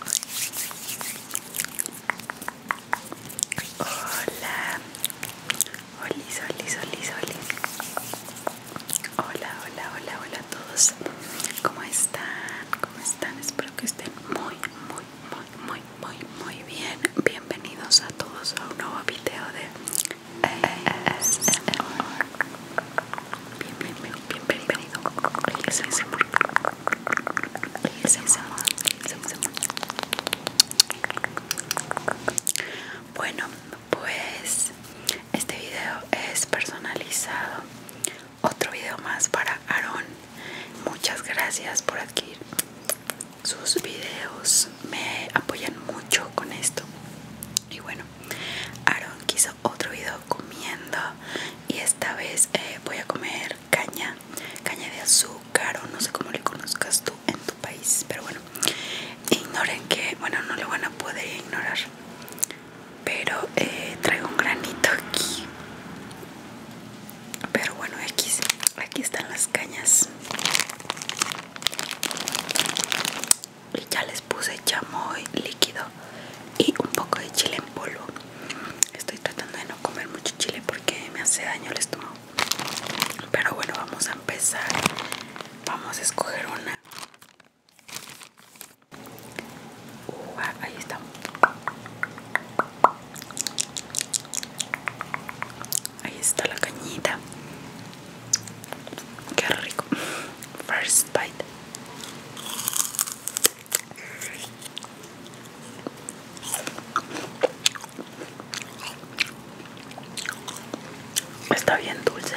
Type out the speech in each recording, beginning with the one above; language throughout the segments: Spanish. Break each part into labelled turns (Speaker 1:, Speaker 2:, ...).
Speaker 1: Hola, Hola, Hola, hola, hola, hola a todos. ¿Cómo están? ¿Cómo están? Espero que estén muy, muy, muy, muy, muy, muy bien. Bienvenidos a todos a un nuevo video de ASMR. Bienvenido, bienvenido. Bueno, pues este video es personalizado. Otro video más para Aarón. Muchas gracias por adquirir sus videos. Me apoyan mucho con esto. Y bueno, Aarón quiso otro video comiendo y esta vez eh, voy a comer caña, caña de azúcar o no sé cómo le conozcas tú en tu país, pero bueno, ignoren que, bueno, no le van a poder ignorar, pero eh, traigo un granito aquí, pero bueno, aquí, aquí están las cañas ya les puse chamoy líquido y un poco de chile en polvo estoy tratando de no comer mucho chile porque me hace daño el estómago pero bueno vamos a empezar vamos a escoger una ahí está ahí está la cañita qué rico first bite Está bien dulce.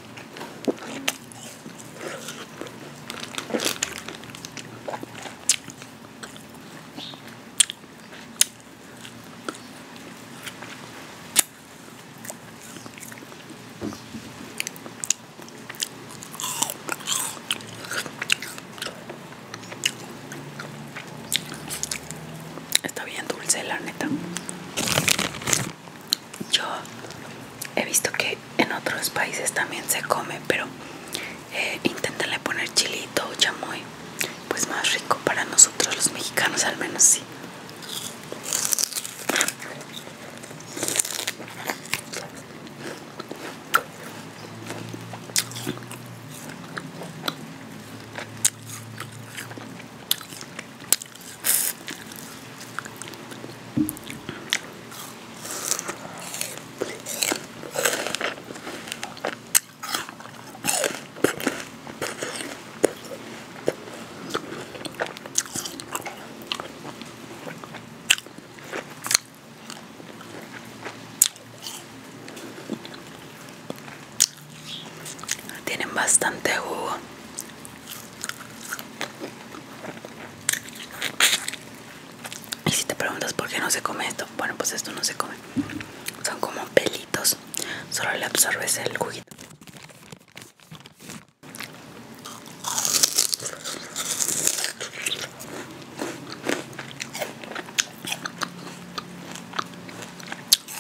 Speaker 1: Está bien dulce la neta yo he visto que en otros países también se come, pero eh, poner chilito, o chamoy, pues más rico para nosotros los mexicanos al menos sí. Tienen bastante jugo y si te preguntas por qué no se come esto, bueno, pues esto no se come. Son como pelitos, solo le absorbes el juguito.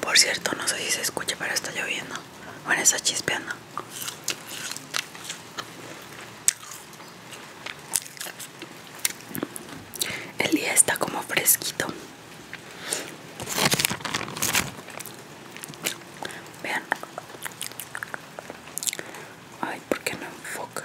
Speaker 1: Por cierto, no sé si se escucha, pero está lloviendo. Bueno, está chispeando. El día está como fresquito. Vean. Ay, ¿por qué no enfoca?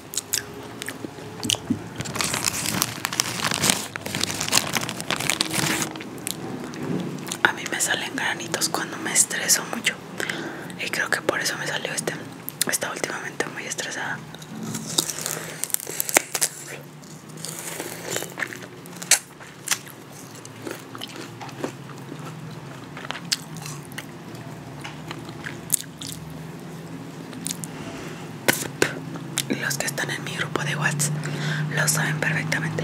Speaker 1: A mí me salen granitos cuando me estreso mucho y creo que por eso me salió este. Está últimamente muy estresada. Los que están en mi grupo de Wats lo saben perfectamente.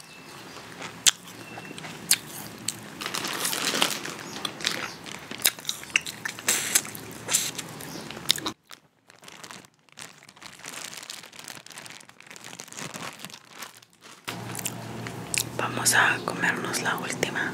Speaker 1: Vamos a comernos la última.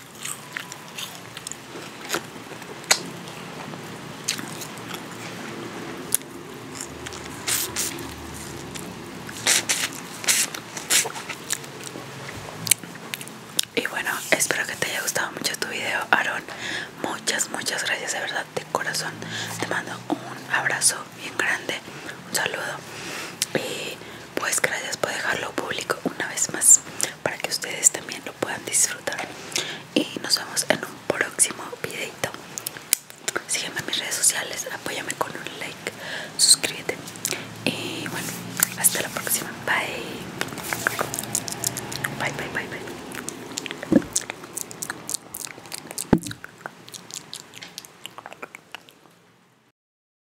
Speaker 1: Y bueno, espero que te haya gustado mucho tu video, Aaron. Muchas, muchas gracias de verdad, de corazón. Te mando un abrazo bien grande, un saludo. Y pues gracias por dejarlo público una vez más para que ustedes también lo puedan disfrutar y nos vemos en un próximo videito sígueme en mis redes sociales apóyame con un like suscríbete y bueno hasta la próxima bye bye bye bye bye